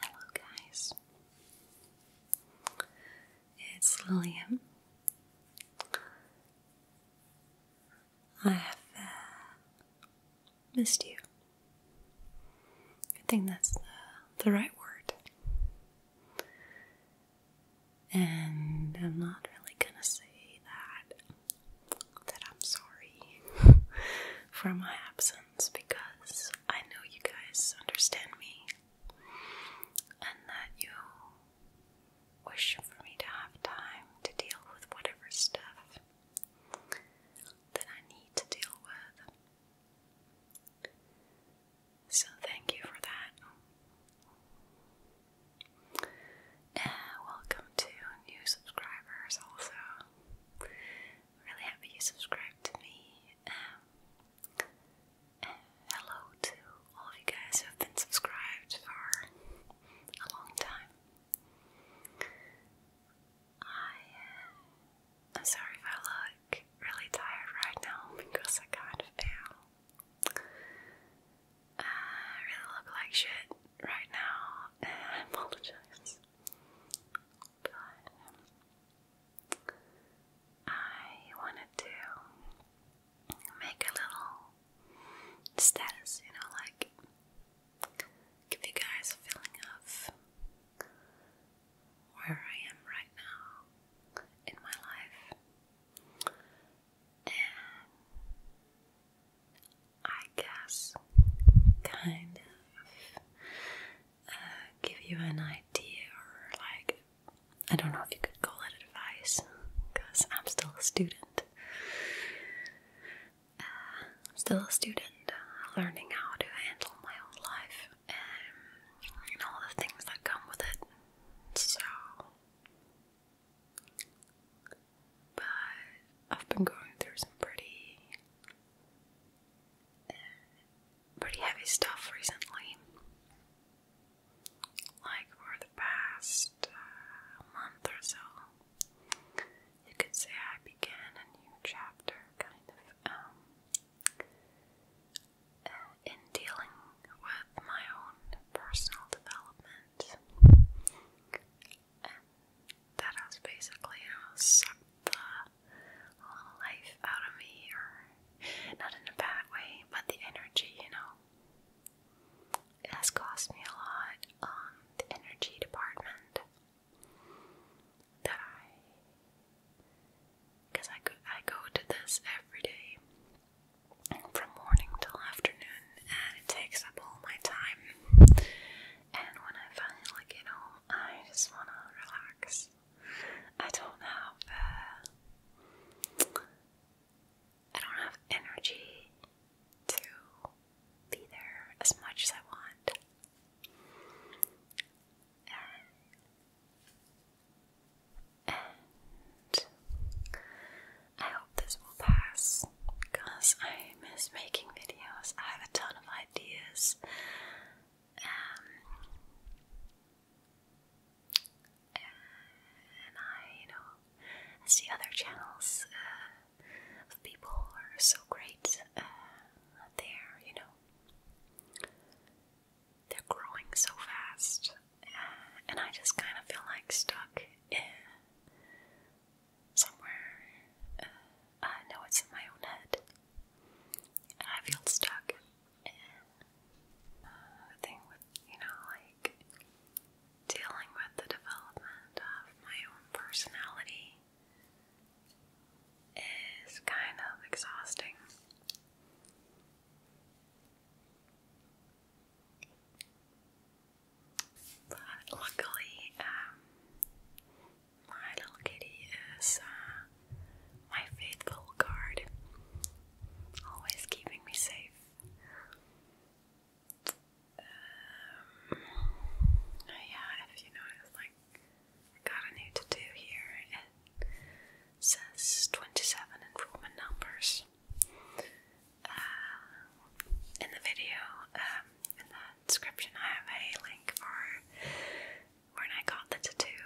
Hello, guys. It's Lillian. I have uh, missed you. I think that's the, the right word. And I'm not really gonna say that that I'm sorry for my absence because I know you guys understand me and that you wish for me to have time to deal with whatever stuff that I need to deal with. So, thank you for that. And welcome to new subscribers, also really happy you subscribed to me. Um, hello to all of you guys who have been subscribed for a long time. I, am uh, sorry if I look really tired right now because I kind of am. I uh, really look like shit right now. I apologize. Good. I wanted to make a little status, you know, like give you guys a feeling of where I am right now in my life. And I I guess, kind of uh, give you an idea, or like, I don't know if you could call it advice, because I'm still a student. Uh, I'm still a student, uh, learning how to handle my own life and all the things that come with it. So, but I've been going through some pretty pretty heavy stuff recently. Like for the past uh, month or so, you could say I began a new chapter, kind of, um, uh, in dealing with my own personal development that has basically, you know, sucked the life out of me, not in a bad way, but the energy, you know, has cost me a lot. Um, the energy department that I, because I go, I go to this every day from morning till afternoon, and it takes up all my time. And when I finally, like, you know, I just want to relax. I don't have. Uh, I don't have energy to be there as much as I want. and I hope this will pass because I miss making videos. I have a ton of ideas. Um, and I, you know, see other channels uh, of people who are so great uh, there, you know. They're growing so fast. and I just kind of feel like stuck in, somewhere. I uh, know uh, it's in my own head. I feel stuck in uh, the thing with, you know, like dealing with the development of my own personality is kind of exhausting. But luckily, um, my little kitty is uh, my faithful guard, always keeping me safe. Um, yeah, if you notice, like, I got a new to do here. It says 27 in numbers. Uh, in the video, um, description I have a link for when I got the tattoo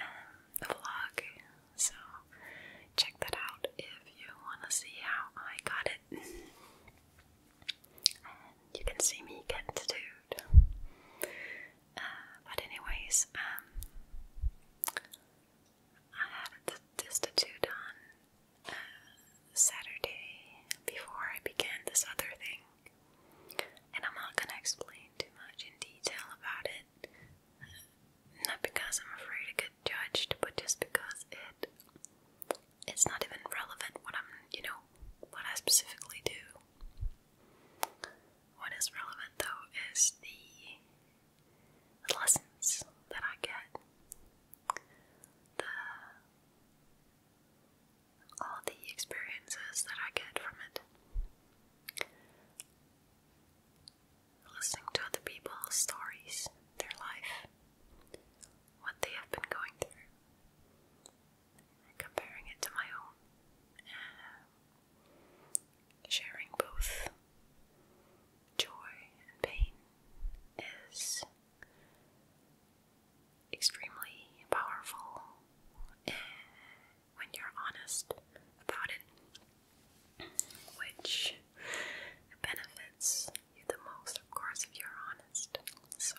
um, vlog, so check that out if you want to see how I got it. you can see me get tattooed. Uh, but anyways, um, I had this tattoo done Saturday before I began this other thing. And I'm not gonna explain too much in detail about it. Not because I'm afraid to get judged, but just because it it's not even relevant what I'm you know, what I specifically do. What is relevant though is the, the lessons that I get. The all the experiences that I get from it. Listening to other people's stories, their life, what they have been going through, comparing it to my own, sharing both joy and pain is extremely powerful when you're honest about it, which benefits you the most, of course, if you're honest. So,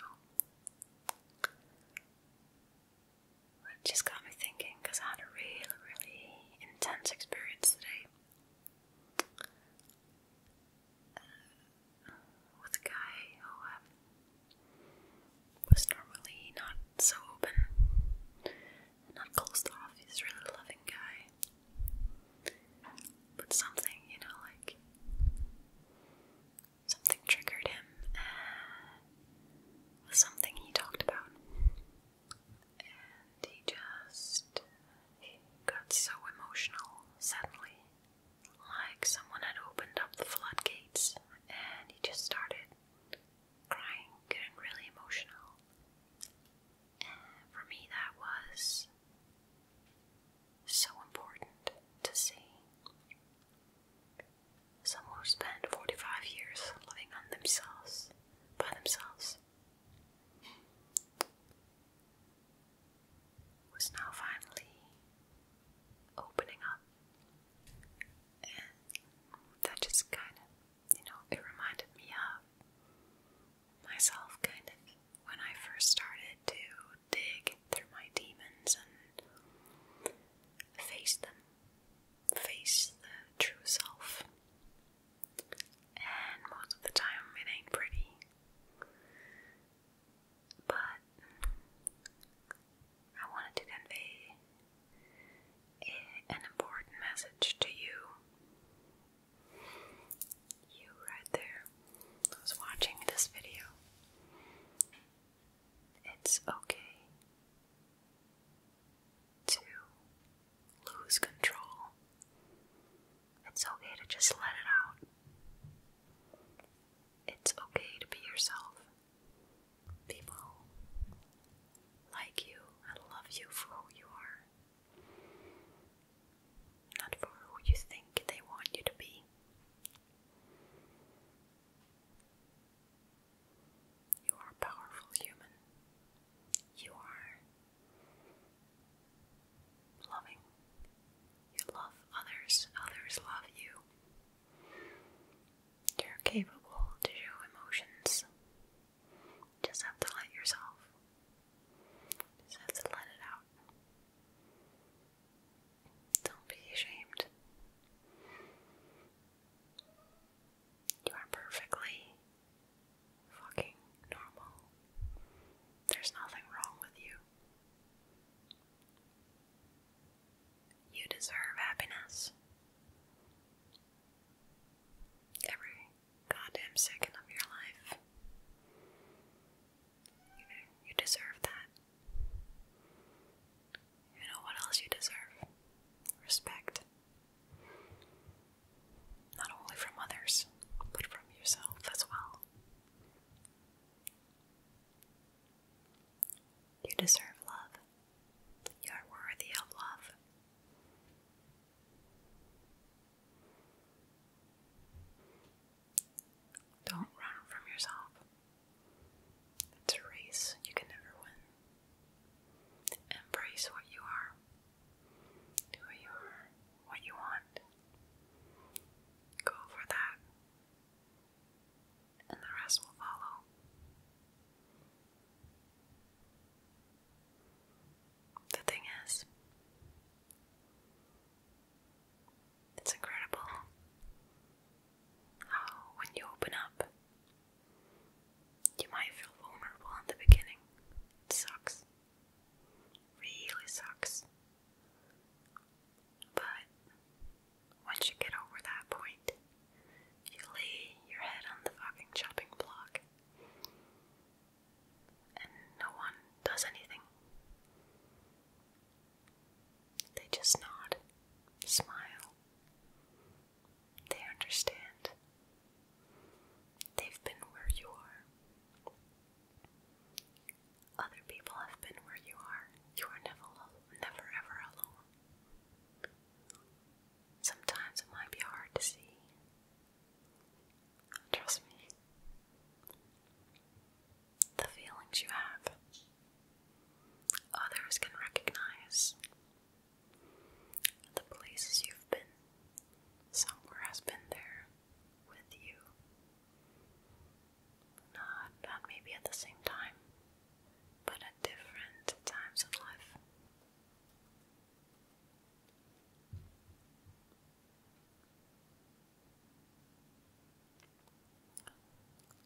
it just got me thinking because I had a really, really intense experience today uh, with a guy who um, was normally not so open, not closed off. He's really loving guy, but something, you know, like something triggered him with uh, something he talked about, and he just he got so emotional suddenly like someone had opened up the floodgates and he just started crying, getting really emotional. for me, that was so important to see someone who spent 45 years living on themselves, by themselves was now finally opening up, and that just kind of, you know, it reminded me of myself kind of when I first started to dig through my demons and face them, face the true self. And most of the time, it ain't pretty but I wanted to convey an important message to you. You right there who's watching this video. It's okay to lose control it's okay to just let it out. It's okay to be yourself. People like you and love you for who you are, not for who you think they want you to be. You are a powerful human. You are loving. You love others, others love you. You're capable to show emotions. Just have to let yourself. Just have to let it out. Don't be ashamed. You are perfectly fucking normal. There's nothing wrong with you. You deserve happiness. Every goddamn second of your life. You, you deserve that. You know what else you deserve? Respect. Not only from others, but from yourself as well. You deserve love. You are worthy of love. Don't run from yourself. It's a race you can never win. Embrace what you are. Do you are, what you want. Go for that, and the rest will follow. The thing is, it's incredible how, when you open up, you might feel vulnerable in the beginning. It sucks. Really sucks. But once you get over that point, you lay your head on the fucking chopping block. And no one does anything. They just nod, smile. They understand. They've been where you are. Other people have been where you are. You are never, never ever alone. Sometimes it might be hard to see. Trust me. The feelings you have, others can recognize. The places you've been, somewhere has been there with you. Not, not maybe at the same time, but at different times of life.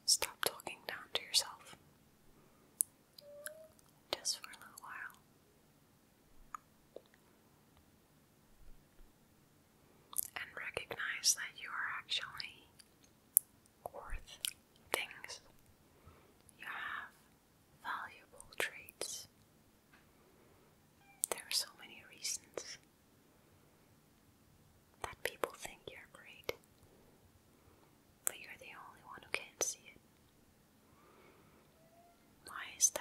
Stop talking down to yourself just for a little while and recognize that you are actually worth things. You have valuable traits. There are so many reasons that people think you're great, but you're the only one who can't see it. Why is that?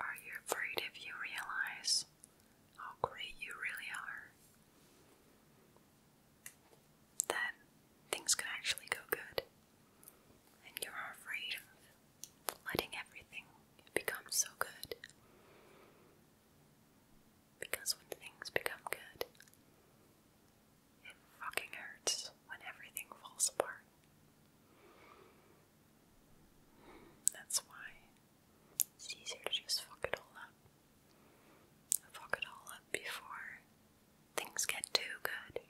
Are you afraid if you realize how great you really are? That things can actually go good, and you're afraid of letting everything become so good. Because when things become good, it fucking hurts when everything falls apart. That's why it's easier to just fuck it all up. Fuck it all up before things get too good.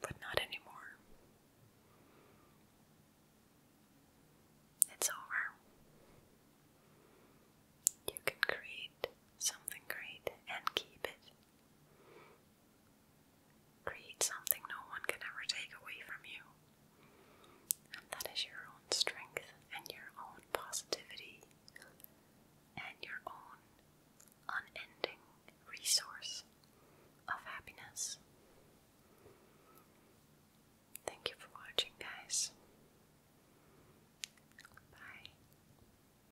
But not anymore. It's over. You can create something great and keep it. Create something no one can ever take away from you. And that is your own strength and your own positivity and your own unending resource of happiness. Thank you for watching, guys. Bye.